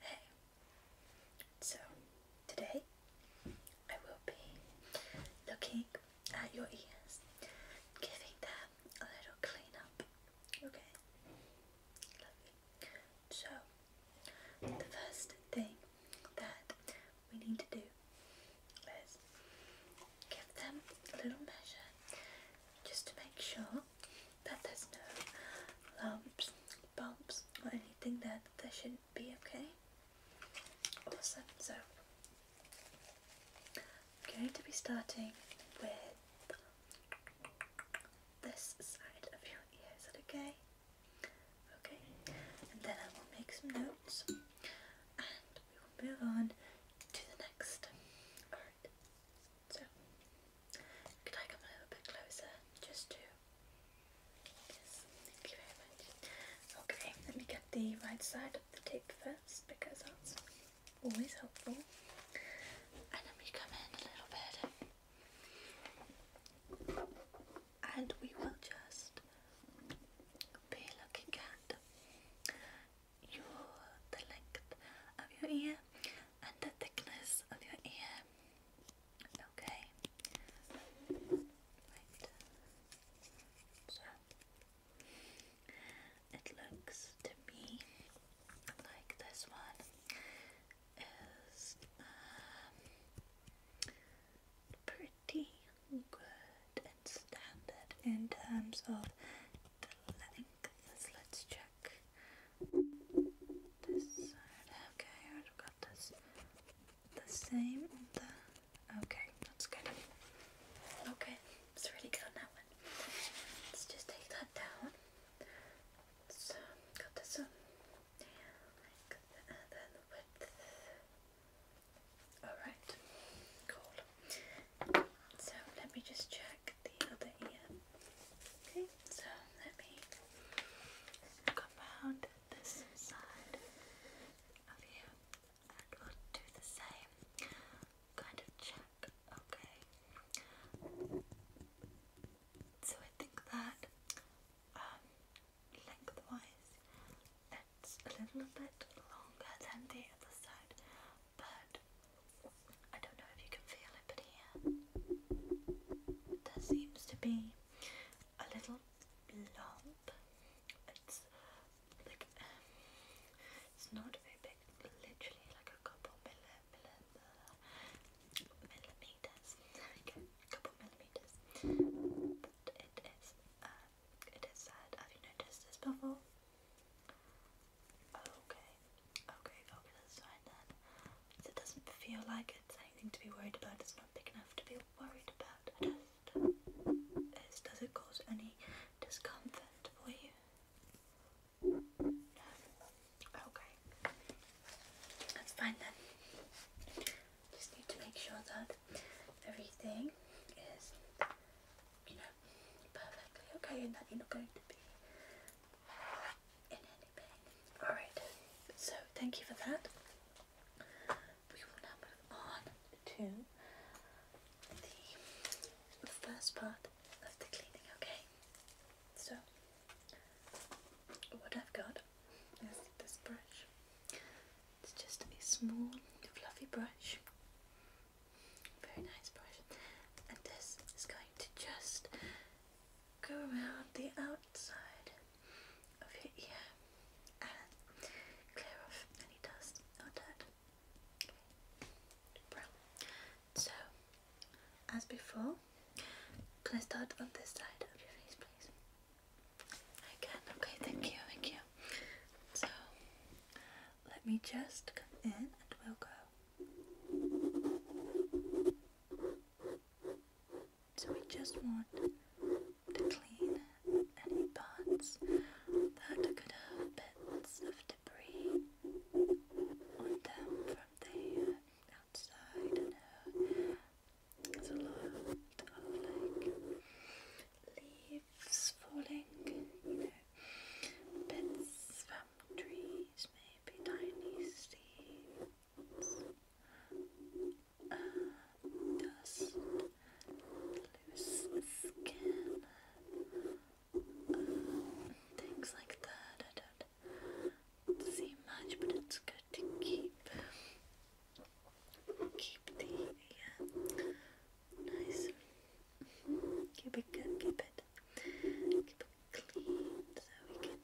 Hey, so today I will be looking at your ears, giving them a little clean up. Okay, So, the first thing that we need to do is give them a little measure just to make sure that there's no lumps, bumps or anything that there shouldn't be, okay? Awesome, so I'm going to be starting with this side of your ear, is that okay? Okay, and then I will make some notes and we will move on to the next. Alright, so, could I come a little bit closer just to. Yes, thank you very much. Okay, let me get the right side of the tape first because that's always helpful. And then we come in a little bit. And we will just be looking at your the length of your ear and the thickness of your ear. Okay. So it looks to me like this one is um, pretty good and standard in terms of the length. Let's check Okay, I've got this the same. okay, that's good. Okay, it's really good on that one. Let's just take that down. So got this one. Like the, and width. Alright, cool. So let me just check the other ear. Okay, so let me come this side of you and we'll do the same kind of check, okay? So I think that um, lengthwise it's a little bit longer than the other side, but I don't know if you can feel it, but here there seems to be a little lump. It's like it's not very big, literally like a couple millimeters. There we go, a couple millimeters. But it is. Uh, it is sad. Have you noticed this before? Okay, okay, go over to the side It doesn't feel like it's anything to be worried about. It's not big enough to be worried about. just, is, does it cause any discomfort for you? Okay, that's fine then. Just need to make sure that everything is you know, perfectly okay and that you're not going to be in any pain. Alright, so thank you for that. We will now move on to the first part of the cleaning, okay? So, what I've got is this brush. It's just a small, fluffy brush. Very nice brush. And this is going to just go around the outside of your ear and clear off any dust or dirt. So, as before, can I start on this side of your face, please? I Okay, thank you, thank you. So, let me just come in and we'll go so we just want to clean any pots that could have bits of debris on them from the outside leaves falling, you know, bits from trees, maybe tiny seeds, uh, dust, loose skin, uh, things like that. I don't see much, but it's good to keep keep the uh, nice. Keep it good, keep it, keep it clean so we can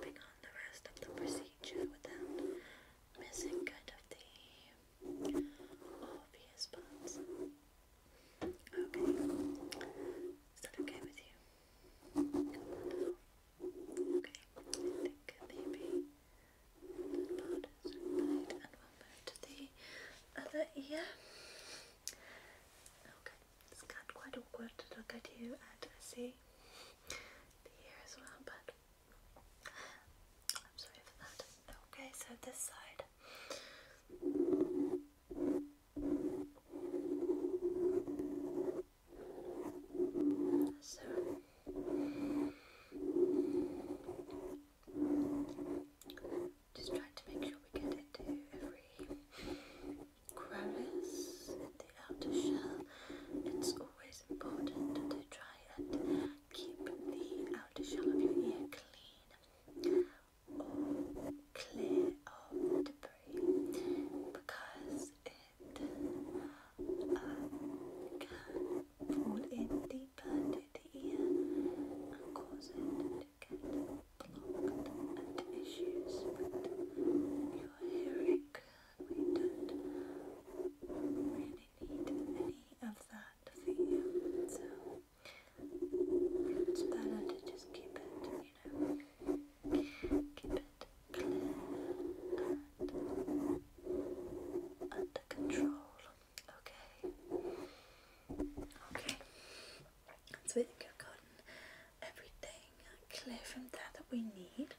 bring on the rest of the procedure without missing kind of the obvious parts. Okay, is that okay with you? Okay, I think maybe and we'll move to the other ear. Okay, it's got quite awkward to look at you and see the ear as well, but I'm sorry for that. Okay, so this side. So just try to make sure we get into every crevice in the outer shell. It's always important to try and keep the outer shell of your ear clean or clear of debris because it uh, can fall in deeper into and cause it to get clogged and issues with your hearing. We don't really need any of that so it's better to just keep it, you know, keep it clear and under control. Okay. Okay. So I think I've gotten everything clear from there that we need.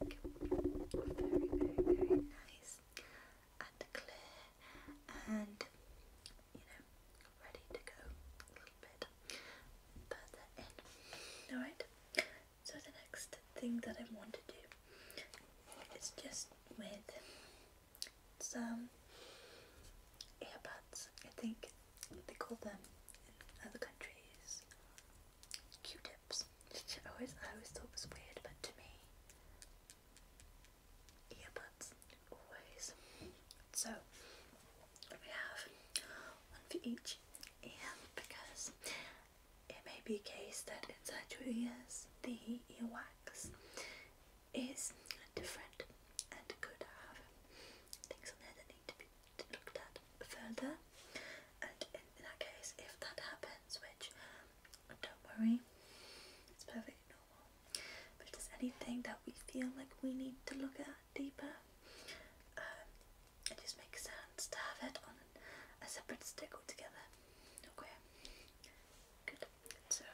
And your looking very, very, very nice and clear and you know ready to go a little bit further in. Alright? So the next thing that I want to do is just with some earbuds. I think they call them in other countries Q-tips, I always, I always thought was weird, but to me, earbuds always. So we have one for each ear because it may be a case that inside your ears the wax is different and could have things on there that need to be looked at further. And in, that case, if that happens, which don't worry, it's perfectly normal. But if there's anything that we feel like we need to look at deeper, um, it just makes sense to have it on a separate stick altogether. Okay. Good. So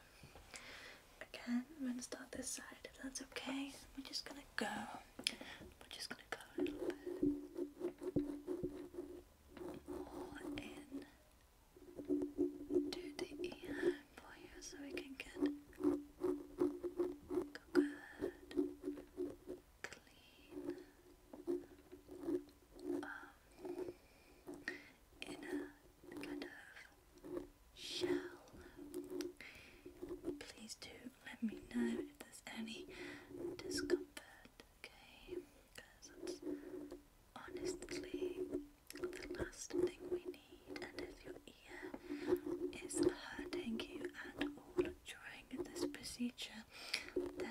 again, I'm gonna start this side if that's okay. We're just gonna go. We're just gonna go a little bit more in to the ear for you so we can get good clean in a kind of shell. Please do let me know if there's any discomfort, okay? Because honestly the last thing we need. And if your ear is hurting you at all during this procedure, then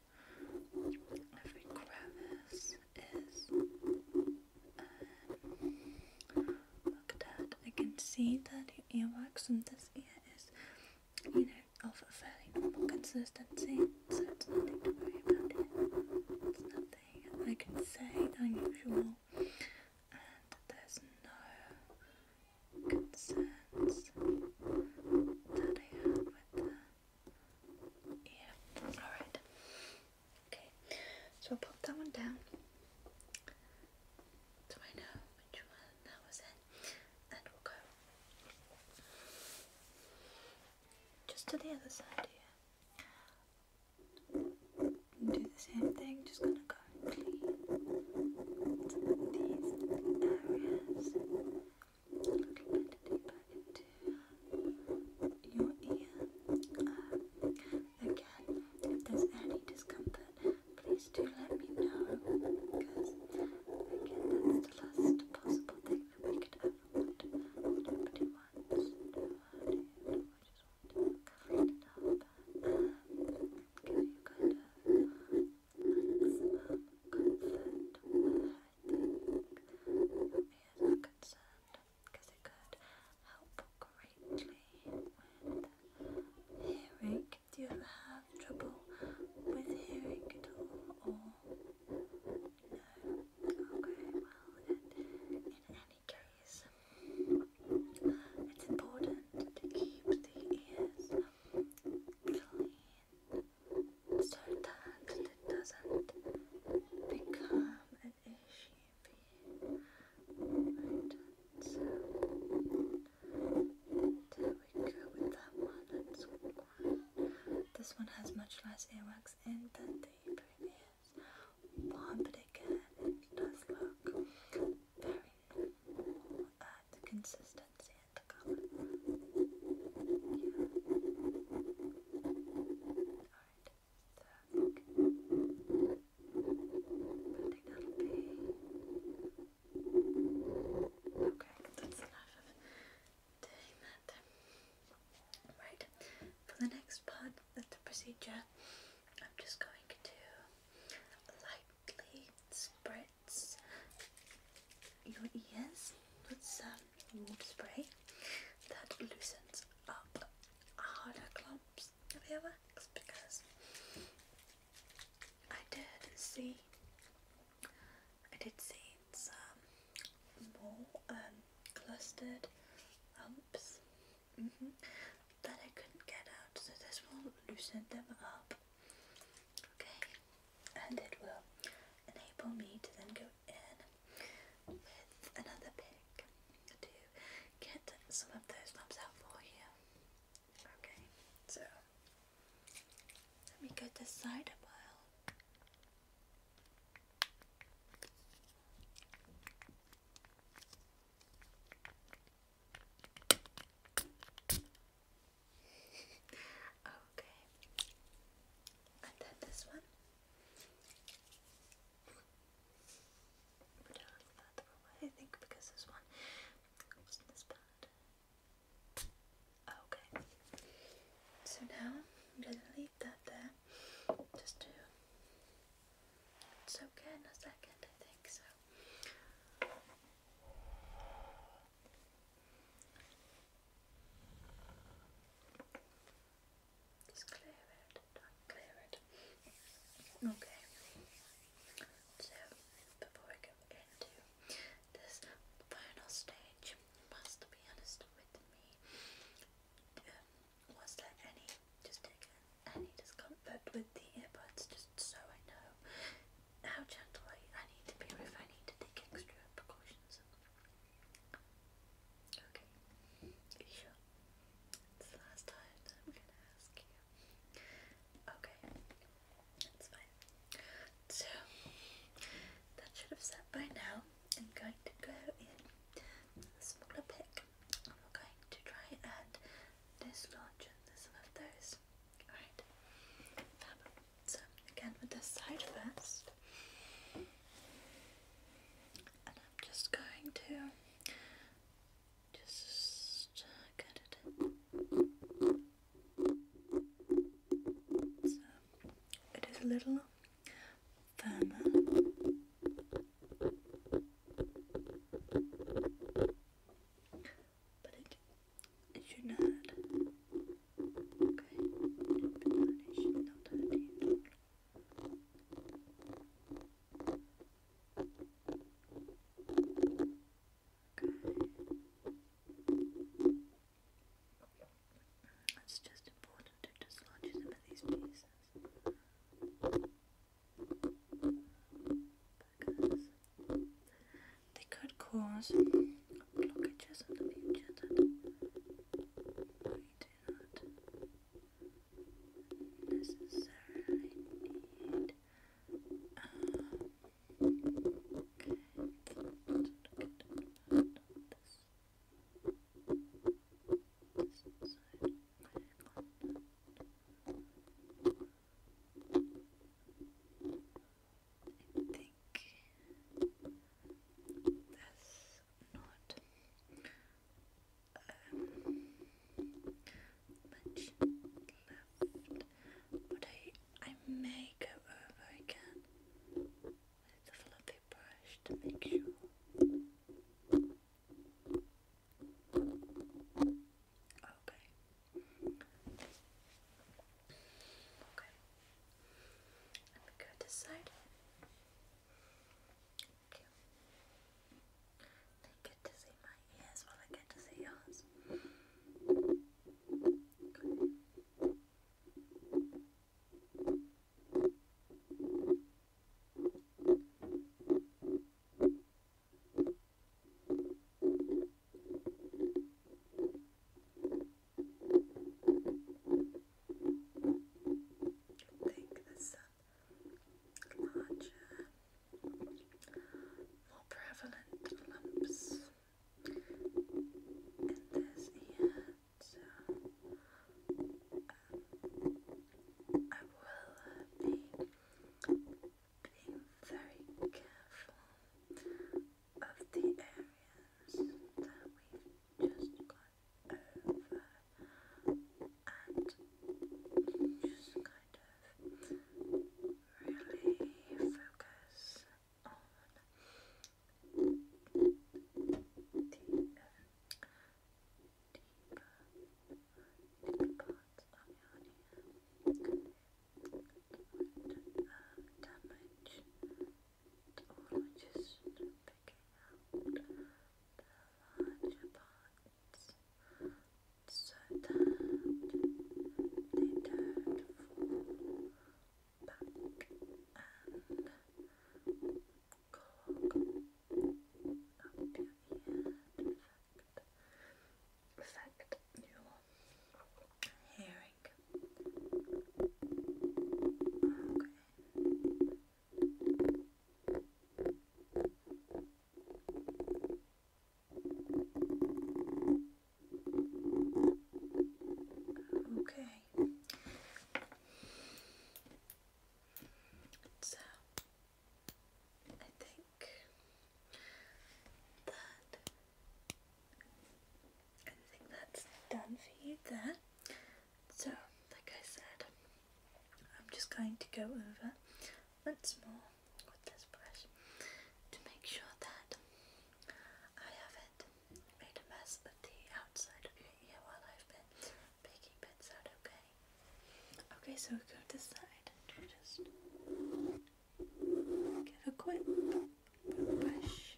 every crevice is um, at I can see that your earwax in this ear is, you know, of a fairly normal consistency, so it's nothing to worry about here. It's nothing I can say unusual, and there's no concerns that I have with that. Yeah, alright. Okay, so I'll pop that one down. So know which one that was in, and we'll go just to the other side here. do the same thing, just gonna go and clean these areas looking at the your ear. again, if there's any discomfort, please do let me know because, again, that's the last possible thing that could ever want. Nobody wants nobody, nobody just wants to cover it up and give you kind of maximum comfort concerned because it could help greatly with hearing. Do you have trouble with hearing at all no? Okay, well in any case it's important to keep the ears clean so that it doesn't become an issue so there we go with that one. That's one. This one has much less earwax in than the previous one, but again, it does look very normal uh, at consistency Okay, that's enough of doing Right, for the next part of the procedure, I'm just going to lightly spread your ears with some warm spray that loosens up harder clumps of hair wax because I did see I did see some more um, clustered lumps mm-hmm. that I couldn't get out so this will loosen them up Okay, and it will enable me to then go in with another pick to get some of those lumps out for you. Okay, so let me go this side a while okay. And then this one. Put it on the bathroom, I think, because this one wasn't this bad. Okay. So now I'm gonna leave that there just to it's okay in a second, I think so. Just clear it, clear it. Okay. So before I go into this final stage, must be honest with me. Um, was there any just any discomfort with the earbuds? Just so I know how gentle I, need to be if I need to take extra precautions. Okay, sure. It's the last time I'm going to ask you. Okay, that's fine. So, that should have set by now. I'm going to go in a smaller pick and we going to try and dislodge some of those Alright. So again with this side first. And I'm just going to just get it in. So it is a little firmer but it, should not okay okay it's just important to dislodge some of these pieces they could cause blockages in the future that we do not necessarily need. okay, I think that's not much left, but I, I may go over again with the fluffy brush to make sure. Okay. Okay. Let me go this side. Thank you. They get to see my ears while I get to see yours think this larger, more prevalent lumps in this ear, so um, I will being very careful of the areas that we've just gone over and just kind of really focus on the um, deeper, deeper parts of your ear um, damage or just picking out the larger parts so that they don't fall back and clog up your affect your hearing. Okay. So I think that I think that's done for you there. So, like I said, I'm just going to go over once more with this brush to make sure that I haven't made a mess of the outside of your ear while I've been picking bits out, okay? Okay, so go this side. Just give a quick brush,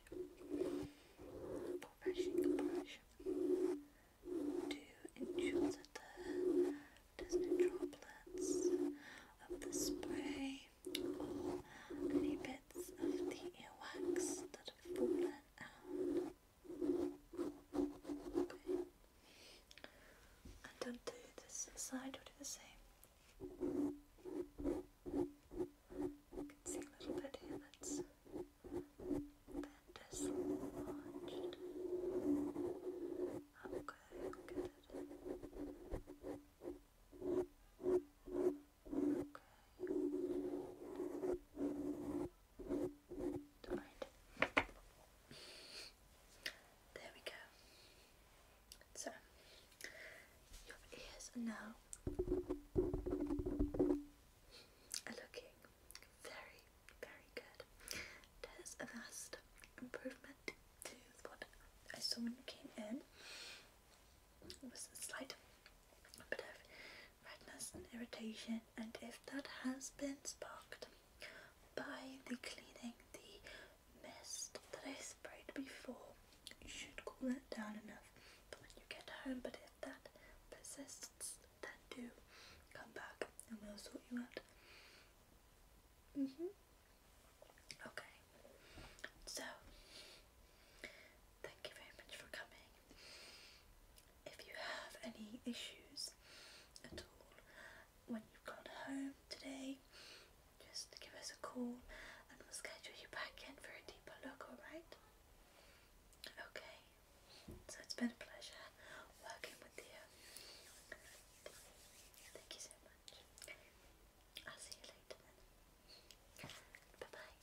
brushing brush to ensure that there there's no droplets of the spray or any bits of the earwax that have fallen out. Okay and don't do this side, do the same. can see little bit here that's bent is launched. Okay, good. Okay. All right. There we go. So, your ears are now are looking very, very good. There's a vast improvement to what I saw when you came in. It was a slight bit of redness and irritation, and if that has been sparked by the cleaning the mist that I sprayed before. You should cool that down enough But when you get home, but if that persists, then do come back and we'll sort you out. Mm hmm Okay. So, thank you very much for coming. If you have any issues at all, when you've gone home today, just give us a call and we'll schedule you back in for a deeper look, alright? Okay, so it's been a pleasure working with you. Thank you so much. I'll see you later Bye bye.